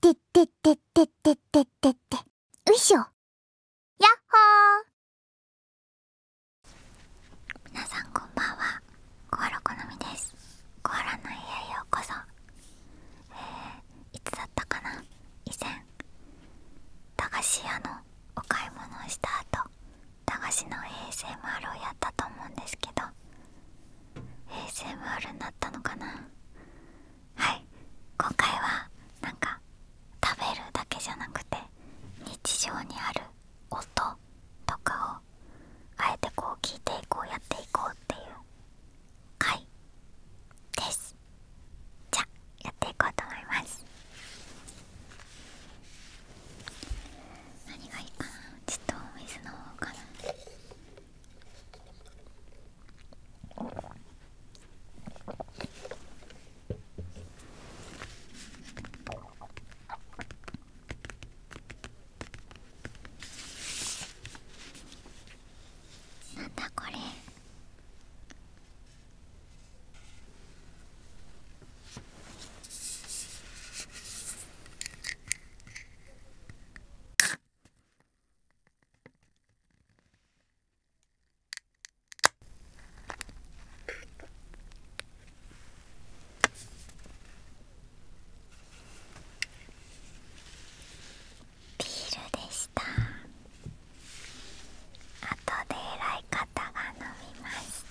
てってってっててててってうしょヤッホー皆さんこんばんはコアラ好みですコアラの家へようこそえいつだったかな以前駄菓子屋のお買い物をした後駄菓子の ASMR をやったと思うんですけど ASMR になったのかなはい今回はなんかか食べるだけじゃなくて日常にある音とかをあえてこう聞いていこうやっていこうっていう回ですじゃやっていこうと思います何がいいかなちょっとお水の方かななんだこれビールでした後で偉い方が飲みます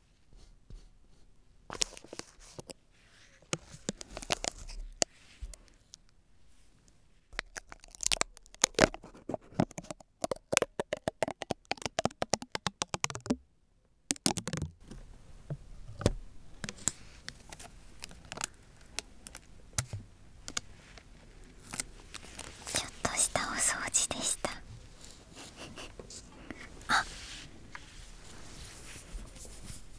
ちょっとしたお掃除でした。あ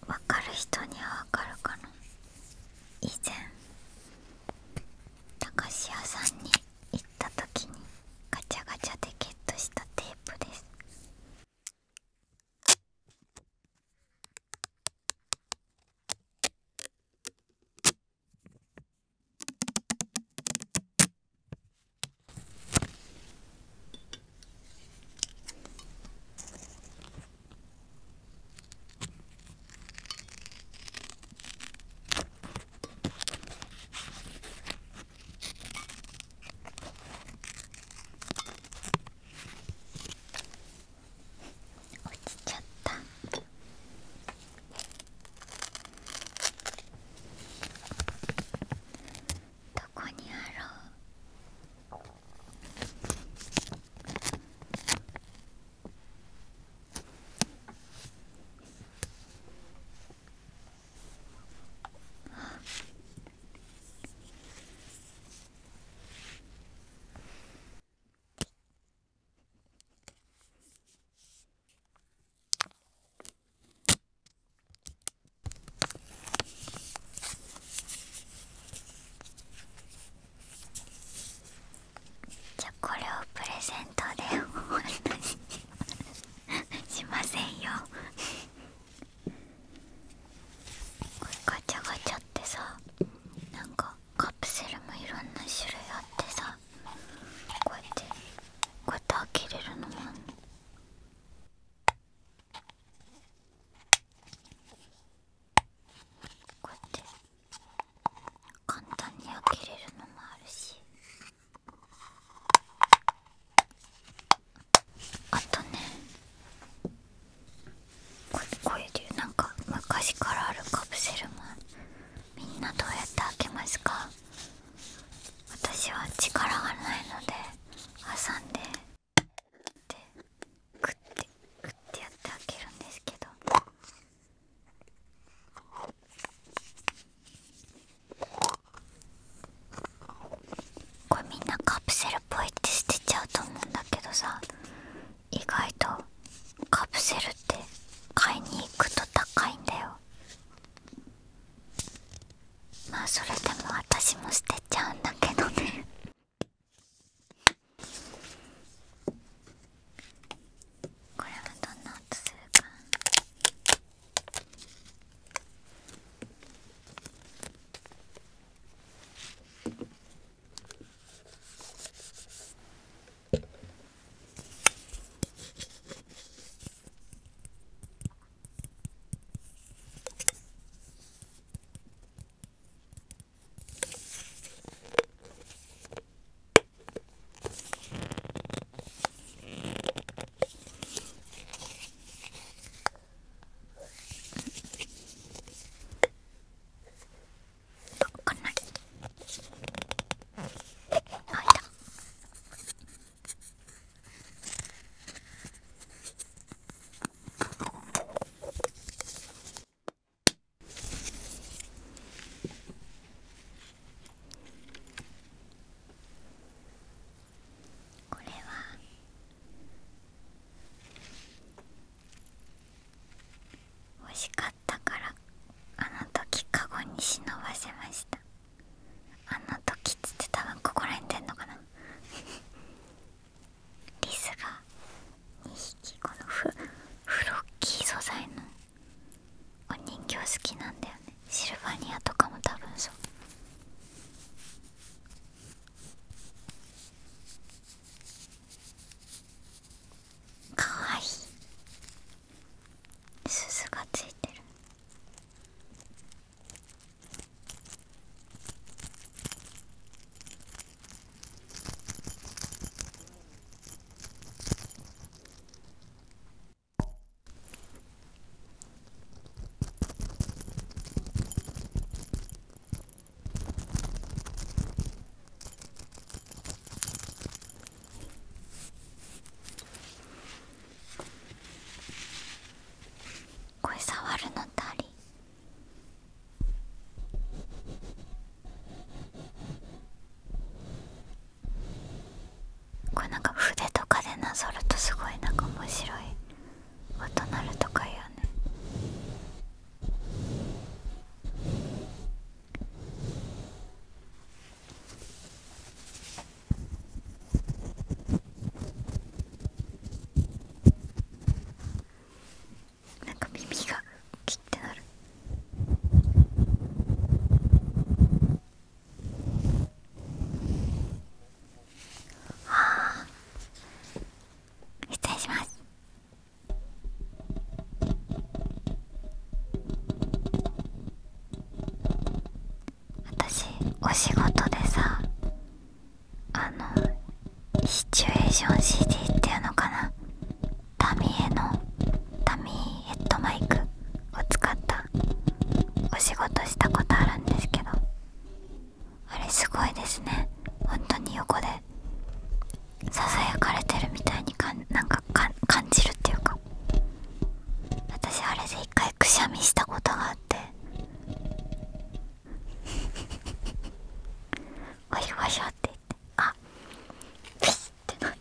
分かる人には分かるかな以前駄菓子屋さんに行った時にガチャガチャでゲットしたテープです落ちちゃった。どこにあろうじゃこれをプレゼントでしませんよガチャガチャってさなんかカプセルもいろんな種類あってさこうやってこうやって開けれるのもこうやって簡単に開けれるのもあるしあとねここういうなんか昔からあるカプセルもみんなどうやって開けますか私は力がないので挟んででくってくってやってあげるんですけど。これみんなカプセルっぽいって捨てちゃうと思うんだけどさ意外とカプセルって買いに行くと高いんだよまあそれでも私も捨てちゃうんだけどねこれはどんな音するかわかんないあいたこれは惜しかったからあの時カゴに忍ばせましたあの時つってた、分ここら辺出んのかな リスが2匹このフフロッキー素材のお人形好きなんだよねシルバニアとかも多分そうかわいい鈴がついてるこれ触るのたりこれなんか筆とかでなぞるとすごいなんか面白い音鳴るとか言うねなんか耳がキってなるああ失礼します私お仕事でさあのシチュエーション CD っていうのかなタミエのタミーヘッドマイクを使ったお仕事したことあるんですけどあれすごいですね本当に横でささやかれてるみたいにかなんか感じるっていうか私あれで一回くしゃみしたことがあってワシャワシャって言ってあピシッってなって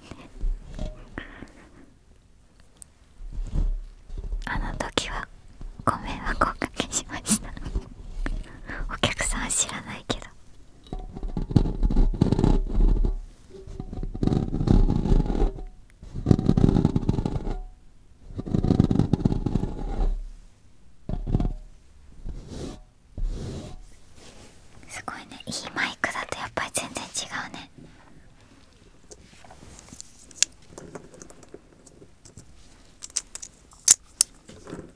あの時はご迷惑をおかけしましたお客さん知らないけどすごいねいいマイクだとやっぱり全然違うねうん。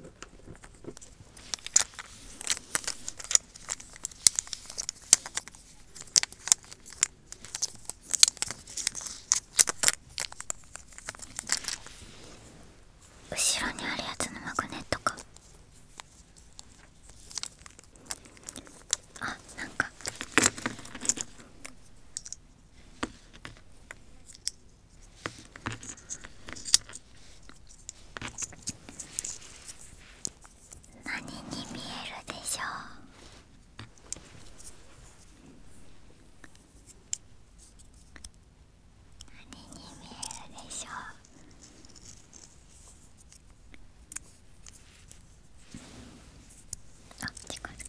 後ろにあるやつのマグネットかあなんか何に見えるでしょう何に見えるでしょうあ近づけ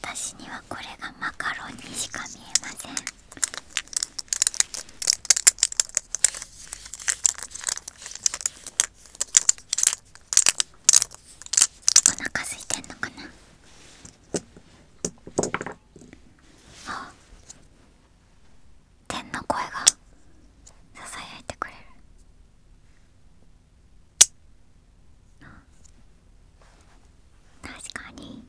私にはこれがマカロンにしか見えませんお腹空いてんのかなあ天の声がささやいてくれる確かに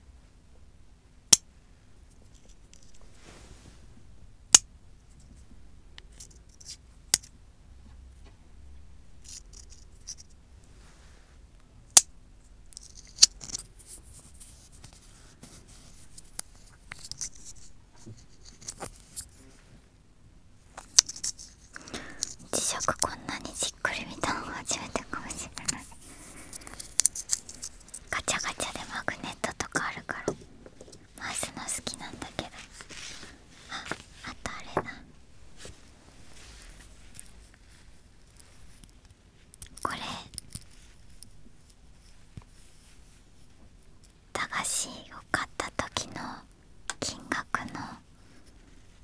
磁石こんなにじっくり見たの初めてかもしれないガチャガチャでマグネットとかあるから回すの好きなんだけどああたあれだこれ駄菓子を買った時の金額の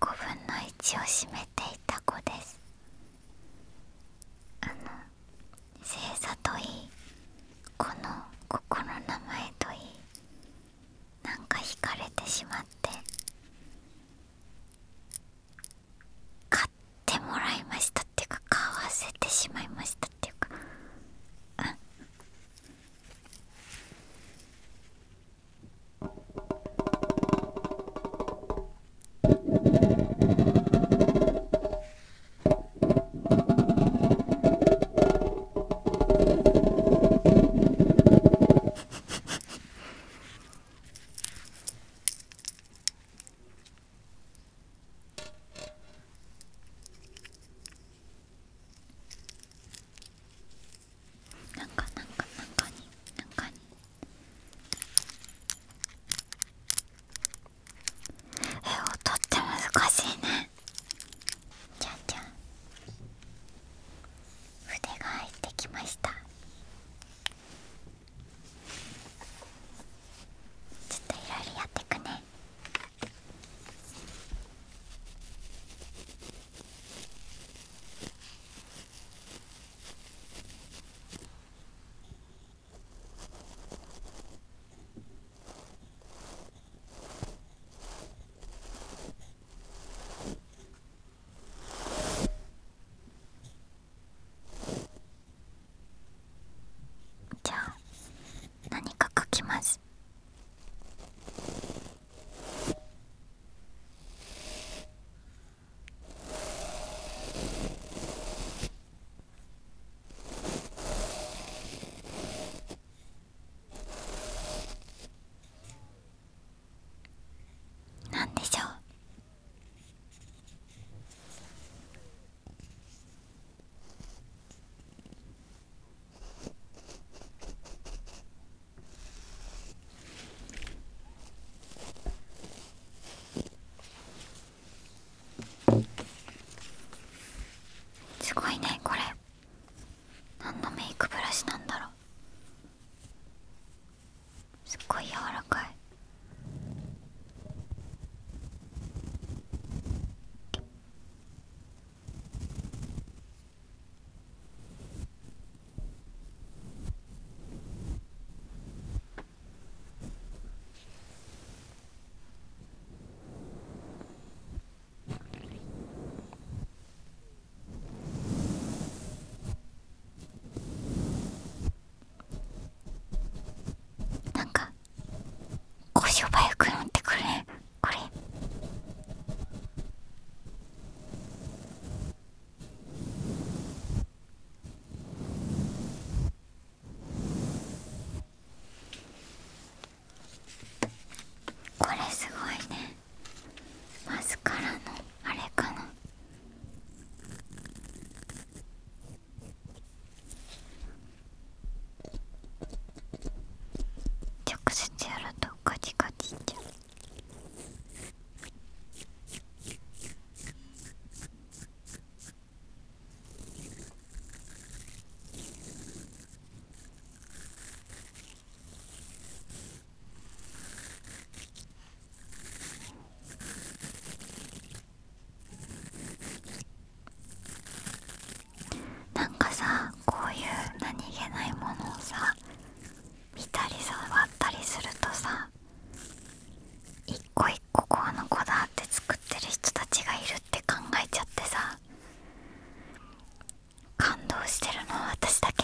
5分の1を占めていた子ですあの星座といいこの心の名前といいなんか惹かれてしまって買ってもらいましたっていうか買わせてしまいましたっていうかうんなんかなんかなんかになんかにえ音って難しいねじゃんじゃん筆が入ってきましたちょっといろいろやっていくねじゃあ何か書きますなんでしょうすごいねこれ何のメイクブラシなんだろうすっごい柔らかいなんかこしょくなってくれ。これこれすごいねマスカラのあれかな直接やるとカチカチいっちゃう。なんかさこういう何気ないものをさ見たり触ったりするとさ一個一個この子だって作ってる人たちがいるって考えちゃってさ感動してるのは私だけ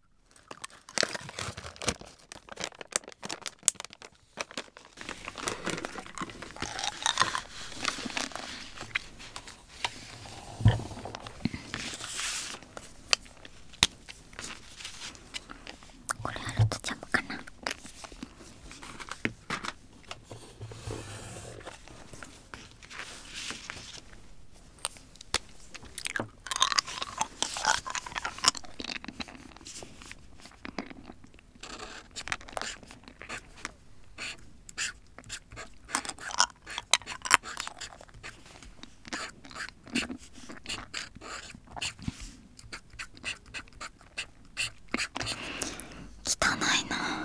これはルトちゃんもかな汚いな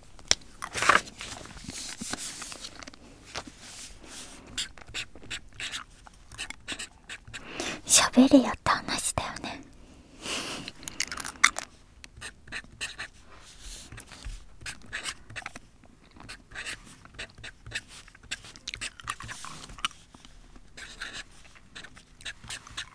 しゃべれよって話だよね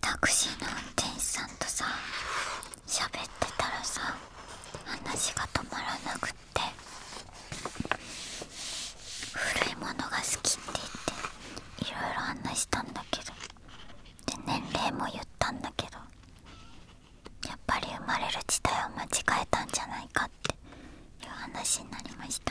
タクシーの運転手さんとさ喋ってたらさ話が止まらなくって古いものが好きって言っていろいろ話したんだけどで年齢も言ったんだけどやっぱり生まれる時代を間違えたんじゃないかっていう話になりました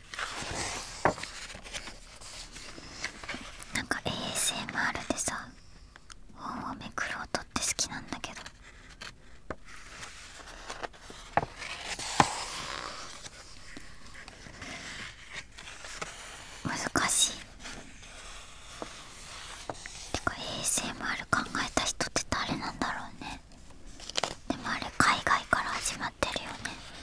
なんか ASMR でさ本をめくるとって好きなんだけど難しいてか ASMR 考えた人って誰なんだろうねでもあれ海外から始まってるよね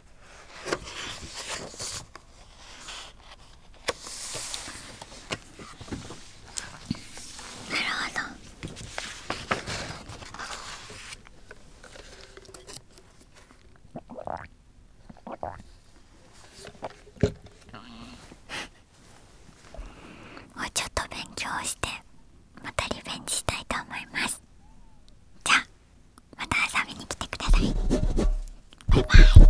なるほど。もうちょっと勉強してまたリベンジしたいと思いますじゃあまた遊びに来てくださいバイバイ